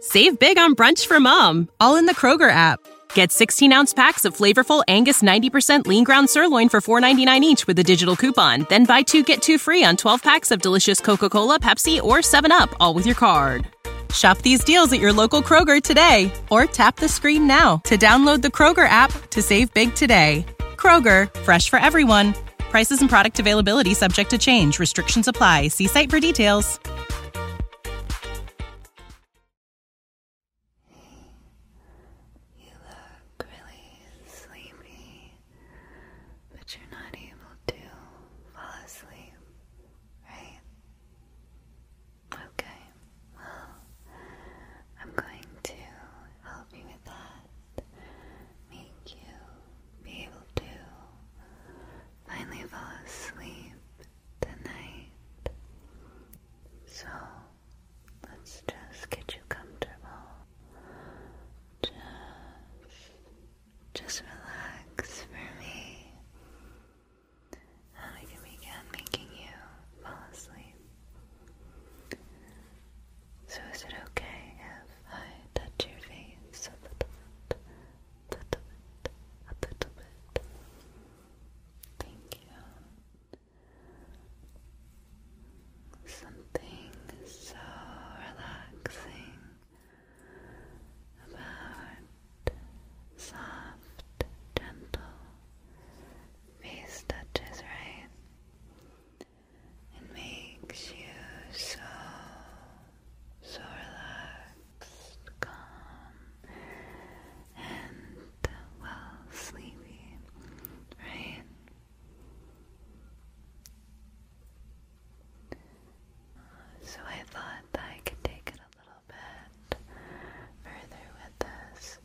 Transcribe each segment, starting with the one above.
Save big on brunch for mom, all in the Kroger app. Get 16 ounce packs of flavorful Angus 90% lean ground sirloin for $4.99 each with a digital coupon. Then buy two get two free on 12 packs of delicious Coca Cola, Pepsi, or 7UP, all with your card. Shop these deals at your local Kroger today or tap the screen now to download the Kroger app to save big today. Kroger, fresh for everyone. Prices and product availability subject to change. Restrictions apply. See site for details. You look really sleepy, but you're not able to fall asleep, right? Okay, well, I'm going to help you with that, make you be able to finally fall asleep tonight. So let's just get you comfortable. Just, just relax for me. And I can begin making you fall asleep. So is it okay if I touch your face a little bit? little bit, a little bit. Thank you. Something so relaxing about soft, gentle face touches, right? It makes you so so relaxed, calm, and well sleepy, right? So I thought that I could take it a little bit further with this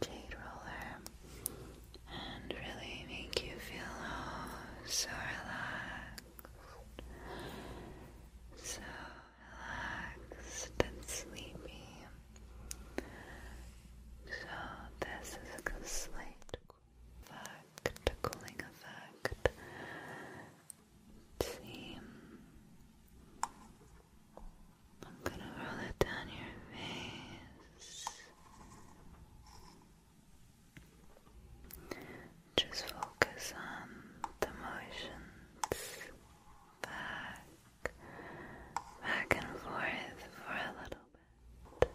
jade roller and really make you feel so relaxed so relaxed and sleepy. So this is a slight effect, a cooling effect. let I'm gonna roll it down your face. Just focus on the motions back, back and forth for a little bit.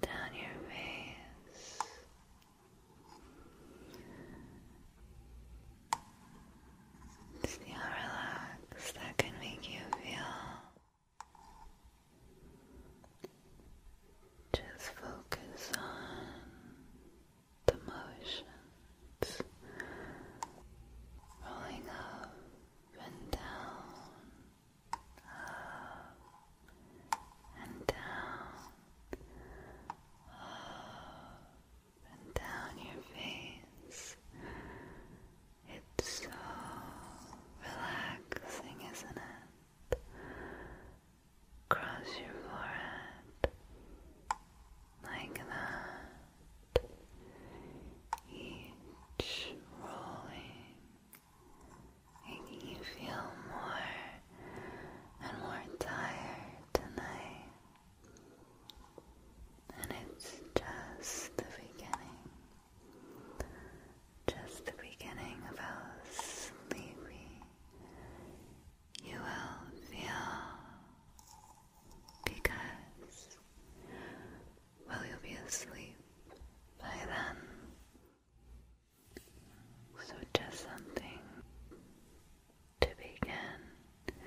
Down your face. See how that can make you feel. Just focus on the motions rolling up and down, up and down, up and down your face. It's so relaxing, isn't it? across your forehead like that, each rolling, making you feel more and more tired tonight. And it's just the beginning. Just the beginning of how sleepy you will feel because, well, you'll be asleep by then. So, just something to begin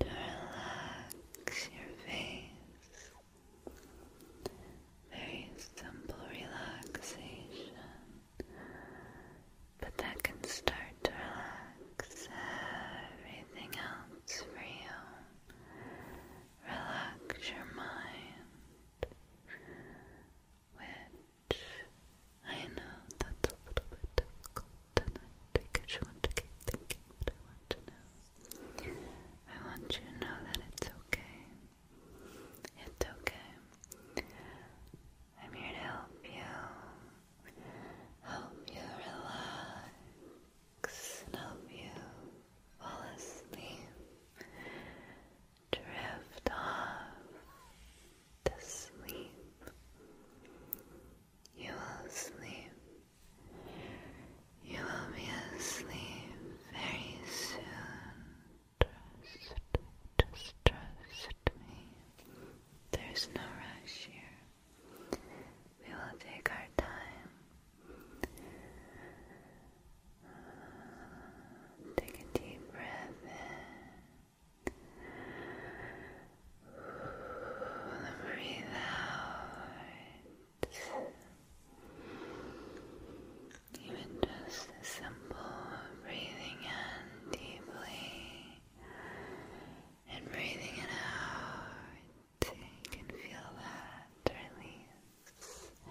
to relax your face very simple relaxation, but that can start to relax everything else for you. Relax your mind, which I know that's a little bit difficult tonight because you want to keep thinking what I want to know. I want you to know that it's okay. It's okay. I'm here to help you. Help you relax help you fall asleep. Drift off to sleep. You will sleep you will be asleep very soon. Trust, just trust me. There's no rush here. We will take our time. Take a deep breath in. And breathe out. Even just simple breathing in deeply and breathing it out, you can feel that release,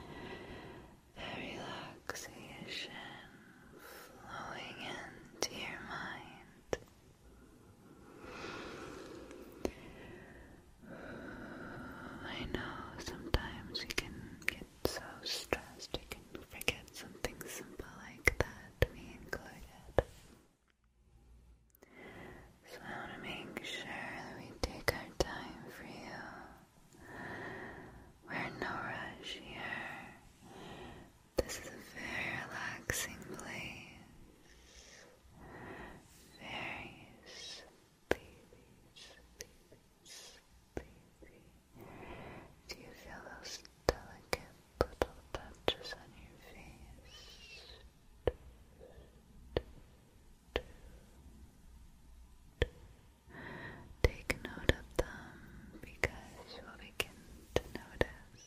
that relaxation flowing into your mind. Uh, I know sometimes we can get so stressed we can forget something simple like that, me included. So I want to make sure we take our time for you. We're no rush here. This is a very relaxing place. Very babies, babies, baby. Do you feel those delicate little touches on your face? Take note of them because you will begin to notice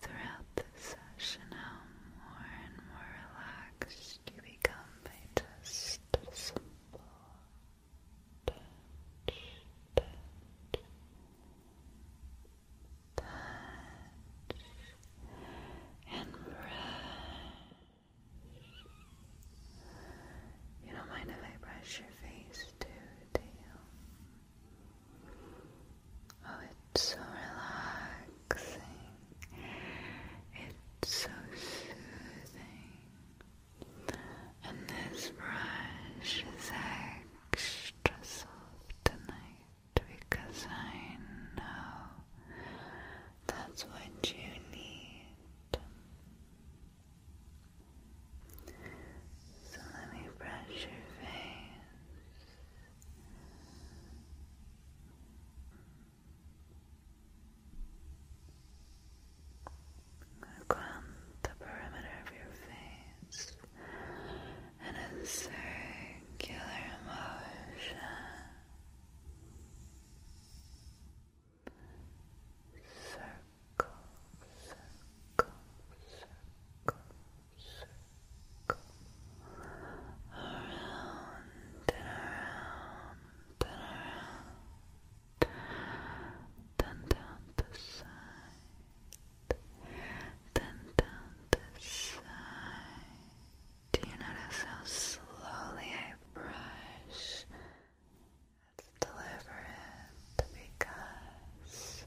throughout this session how more and more relaxed you become a simple touch, touch, touch, and brush. You don't mind if I brush your face too, do you? Oh, it's so relaxed. It's so soothing. And this brush is extra soft tonight because I know that's what you need. So let me brush your face around the perimeter of your face in a circular motion. Circle, circle, circle, circle, around and around then down the side, then down the side. Do you notice how slowly I brush? Let's because,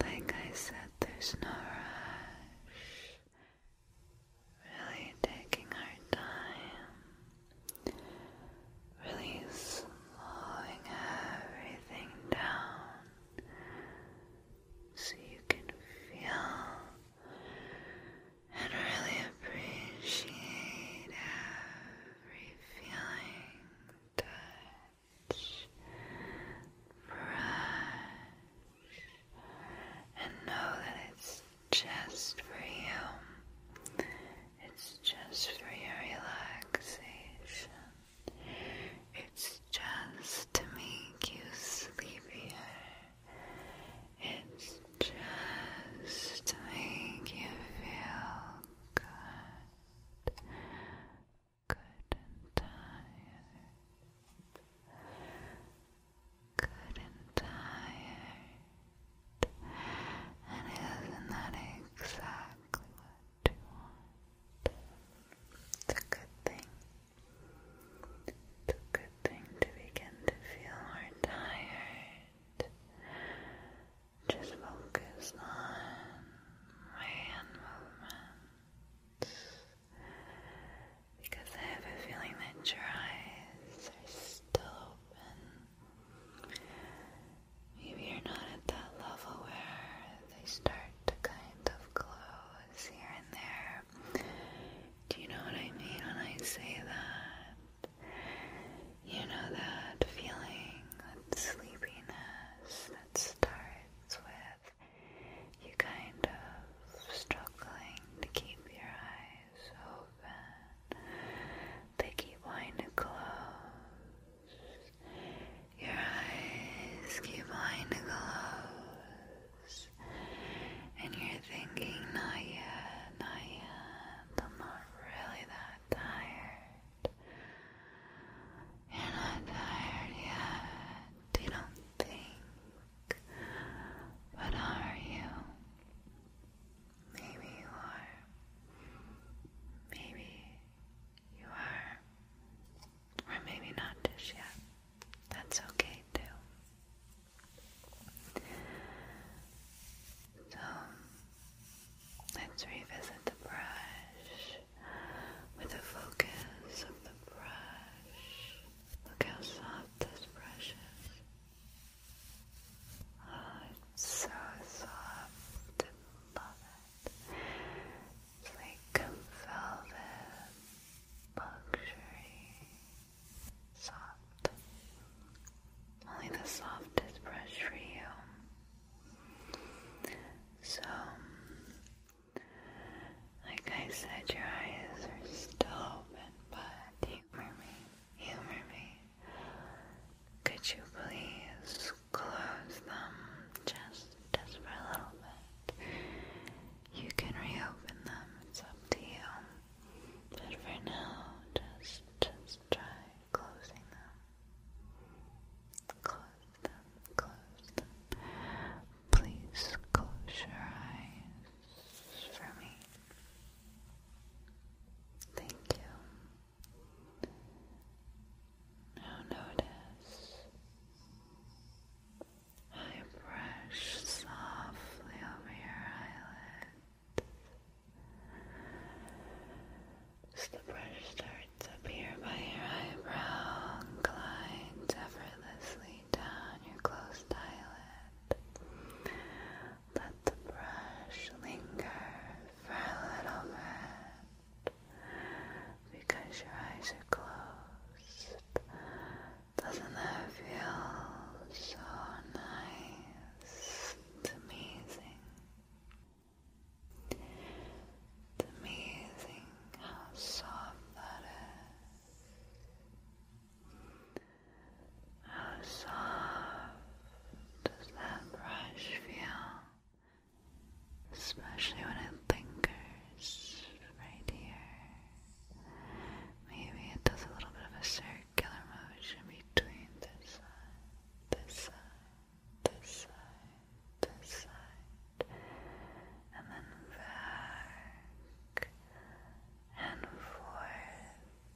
like I said, there's no rush. Really taking our time, really slowing everything down so you can feel and really appreciate every feeling, touch, brush. And know that it's just for you. It's just for your relaxation. It's just to make you sleepier. It's just to make you feel good. Good and tired good and tired. And isn't that exactly what you want? It's a good thing. It's a good thing to begin to feel more tired. Just focus on hand movements because I have a feeling that your eyes are still open. Maybe you're not at that level where they start to kind of close here and there. Do you know what I mean when I say that? You know that feeling, that sleepiness that starts with you kind of struggling to keep your eyes they keep wanting close. Your eyes keep wanting close. And you're thinking, not yet, not yet. I'm not really that tired. You're not tired yet. You don't think but are you? Maybe you are. Maybe you are. Or maybe not just yet. That's okay too. So let's revisit the brush with a focus of the brush. Look how soft this brush is. Oh, it's so soft love it. like velvet, luxury, soft. Only the softest brush for you. So, like I said, your eyes are still open, but take for me humor me. Could you please close them just just for a little bit? You can reopen them, it's up to you. But for now, just just try closing them. Close them, close them. Please close your eyes for me. Thank you. Now notice I brush softly over your eyelids. As the brush starts up here by your eyebrow glides effortlessly down your closed eyelid, let the brush linger for a little bit because your eyes are closed. Doesn't that feel so nice? It's amazing. It's amazing how soft that is. How soft does that brush feel? Especially when it lingers right here. Maybe it does a little bit of a circular motion between this side, this side, this side, this side, and then back and forth.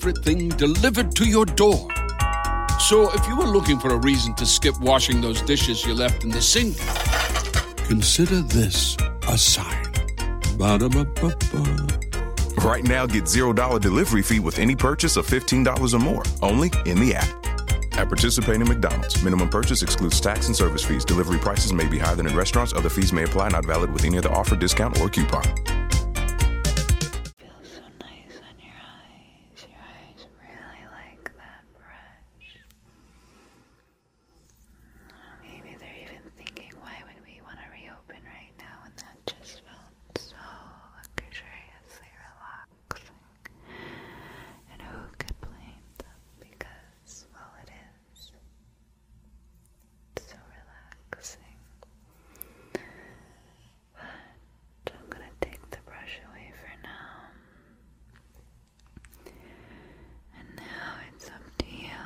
thing delivered to your door. So if you were looking for a reason to skip washing those dishes you left in the sink, consider this a sign. Right now, get $0 delivery fee with any purchase of $15 or more, only in the app. At participating McDonald's, minimum purchase excludes tax and service fees. Delivery prices may be higher than in restaurants. Other fees may apply, not valid with any other offer, discount, or coupon. Feels so nice on your eyes. Your eyes really like that brush. Maybe they're even thinking, why would we want to reopen right now? And that just felt so luxuriously relaxing. And who could blame them? Because, well, it is so relaxing. But I'm gonna take the brush away for now. And now it's up to you.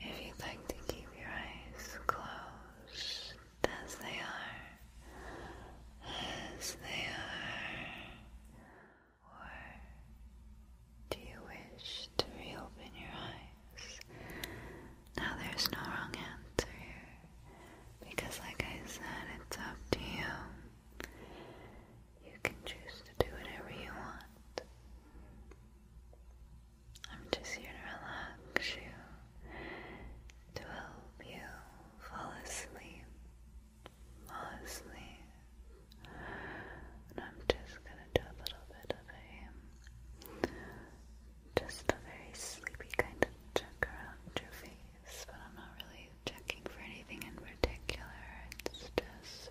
If you'd like to keep your eyes closed as they are, as they are, or do you wish to reopen your eyes now there's no wrong answer here, because like I said, it's up to you. You can choose to do whatever you want. I'm just here to relax you, to help you fall asleep, fall asleep. And I'm just gonna do a little bit of a just a very sleepy kind of check around your face, but I'm not really checking for anything in particular. It's just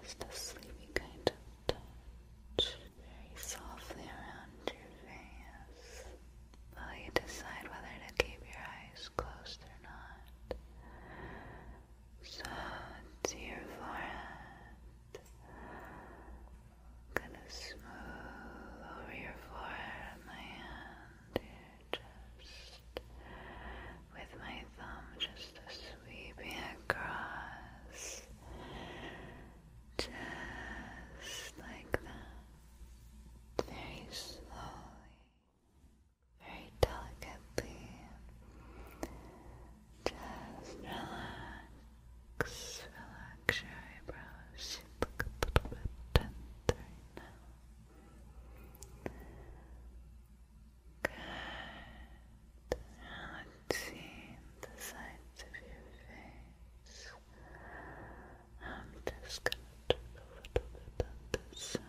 just a sleepy kind of touch, very softly around your face. While you decide whether to keep your eyes closed or not to your forehead. gonna smooth over your forehead with my hand here, just with my thumb, just sweeping across, just like that, very slowly. Very delicately, just relax, your eyebrows. You look a little bit tense right now. Good. let's see the sides of your face. I'm just gonna turn a little bit on this side.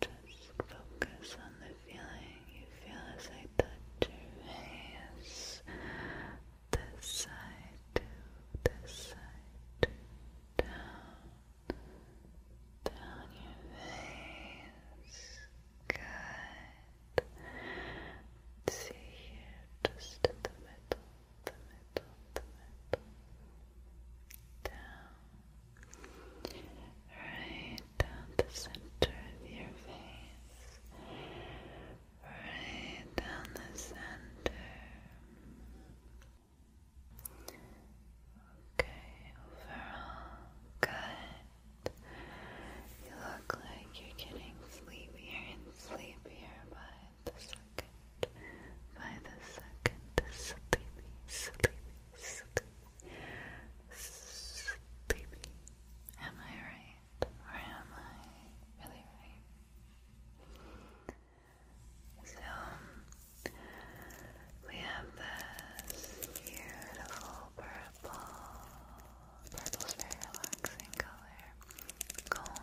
Just focus on the feeling you feel as I touch your face. This side to this side to down, down your face. Good. See here, just in the middle, the middle, the middle. Down, right down the center of your face, right down the center. Okay, overall, good. You look like you're getting sleepier and sleepier by the second. By the second, sleepy, sleepy, sleepy. Am I right? Or am I really right? So, we have this beautiful purple. Purple's very relaxing color.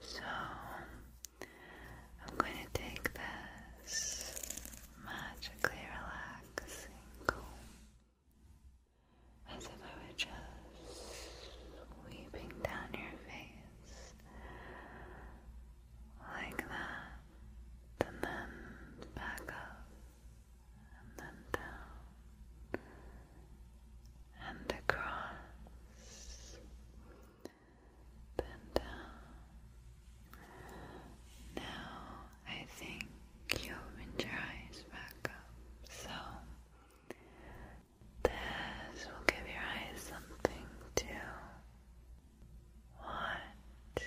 So, I'm going to take this magically relaxing, as if I were just sweeping down your face like that, and then back up, and then down, and across and Now I think you opened your eyes back up. So this will give your eyes something to watch,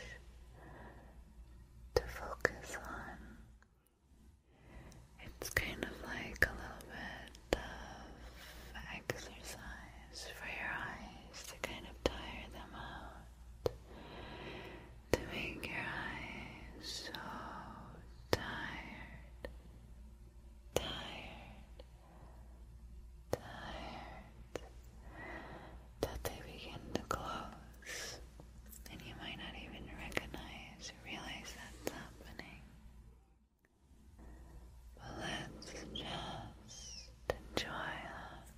to focus on. It's kind of like a little bit of exercise for your eyes to kind of tire them out to make your eyes so tired, tired, tired that they begin to close, and you might not even recognize realize that's happening. But let's just enjoy that.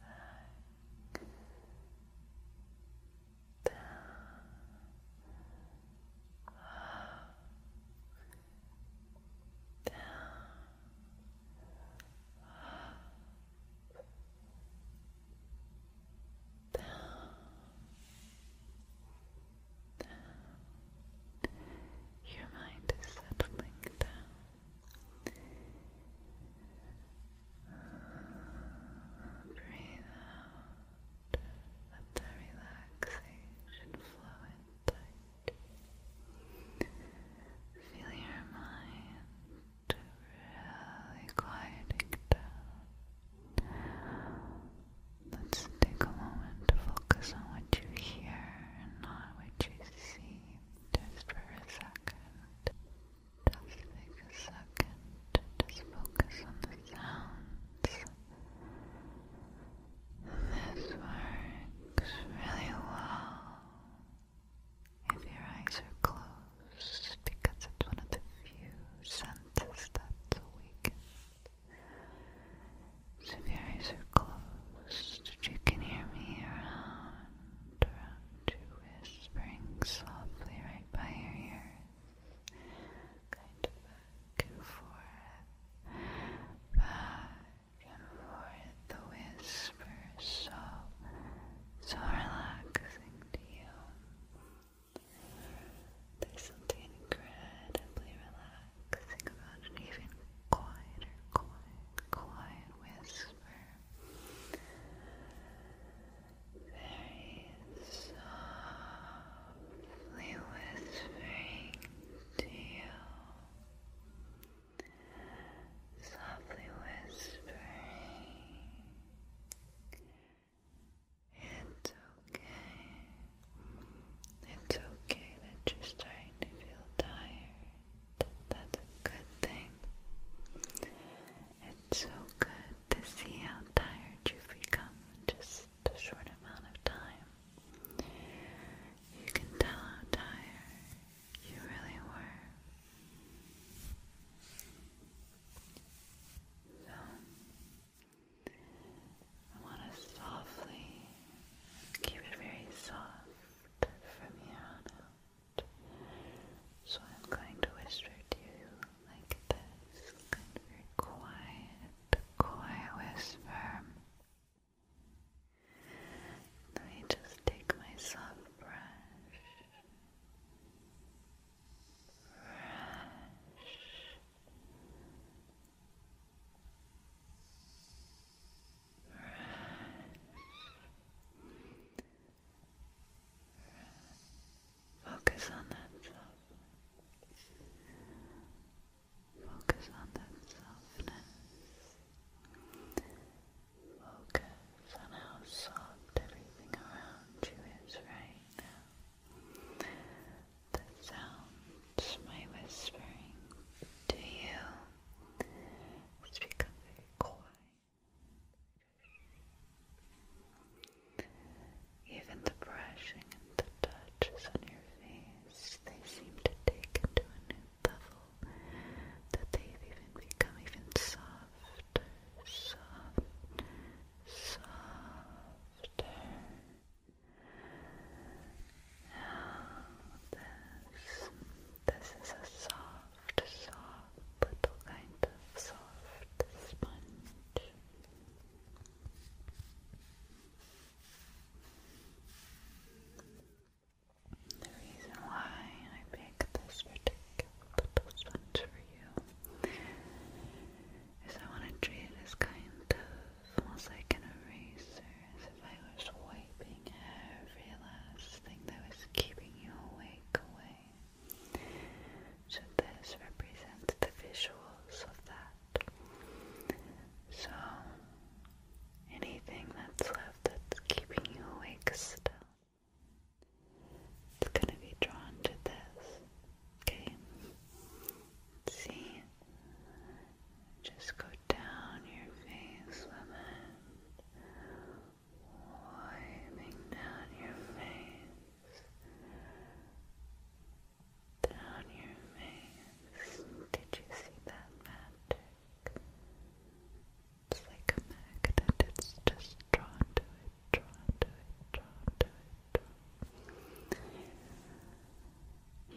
back, down, up, down, up, down, down. Your mind is settling down. Breathe out. Let the relaxation flow in Feel your mind really quieting down. Let's take a moment to focus on what you hear and not what you see just for a second. Just take a second just focus on the sounds. This works really well if your eyes are closed because it's one of the few senses that's awakened. So if your eyes are closed, you can hear me around wrapped around you, whispering softly right by your ears, kind of back and forth, back and forth, the whisper so, so relaxing to you. There's something incredibly relaxing about an even quieter, quiet, quiet whisper very softly whispering to you, softly whispering. It's okay. It's okay that you're starting to feel tired that's a good thing. It's so good to see how tired you've become just a short amount of time. You can tell how tired you really were. So, I want to softly keep it very soft from here so I'm going to whisper to you like this, very quiet, quiet whisper. Let me just take my soft brush. Brush. Focus on that Focus on that softness. Focus on how soft everything around you is right now. The sounds my whispering to you is becoming quiet. Even the brushing and the touches on your face, they seem to take into a new level that they've even become even softer, soft, softer. Now this, this is a soft soft, soft, little kind of soft sponge. The reason why I pick this particular little sponge for you is I want to treat it as kind of almost like an eraser, as if I was wiping every last thing that was keeping you awake away. So this represents the visuals of that. So anything that's left that's keeping you awake still. It's gonna be drawn to this. Okay. See? Just go down your face with wiping down your face, down your face. Did you see that magic? It's like a magnet, it's just drawn to it, drawn to it, drawn to it, drawn.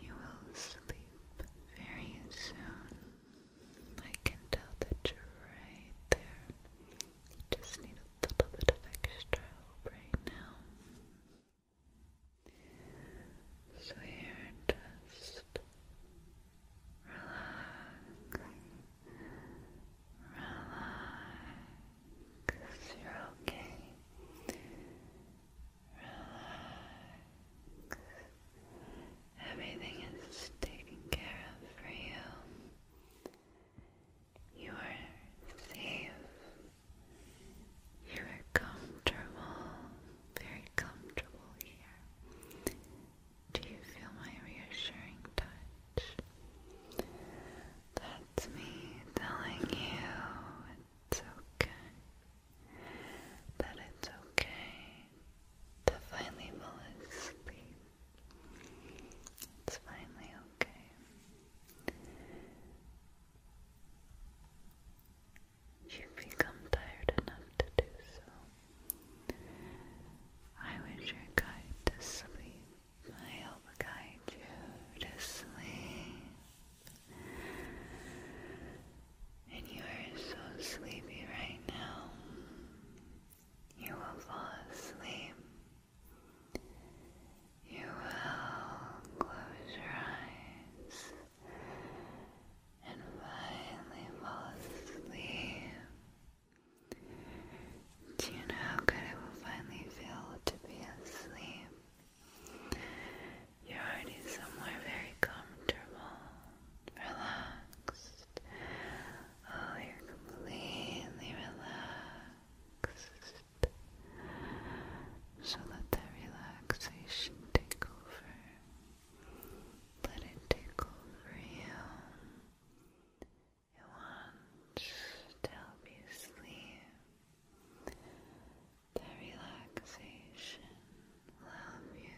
You will sleep very soon. I can tell that you're right there. You just need a little bit of extra help right now. So here, just relax, relax, you're okay. Relax. Everything is taken care of for you. You are safe. You are comfortable, very comfortable here. Do you feel my reassuring touch? That's me telling you it's okay. That it's okay to finally fall asleep. It's finally okay. You've become tired enough to do so. I was your guide to sleep. I help guide you to sleep. And you are so sleepy right now. You will fall asleep. You will close your eyes and finally fall asleep. Do you know how good it will finally feel to be asleep? You're already somewhere very comfortable, relaxed, Oh, you're completely relaxed. So let that relaxation take over. Let it take over you. It wants to help you sleep. That relaxation will you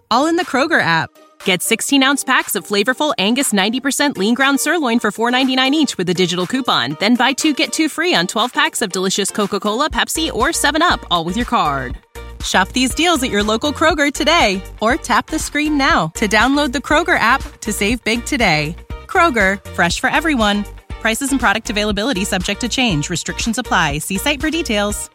all in the Kroger app. Get 16 ounce packs of flavorful Angus 90% lean ground sirloin for $4.99 each with a digital coupon. Then buy two get two free on 12 packs of delicious Coca Cola, Pepsi, or 7UP, all with your card. Shop these deals at your local Kroger today or tap the screen now to download the Kroger app to save big today. Kroger, fresh for everyone. Prices and product availability subject to change. Restrictions apply. See site for details.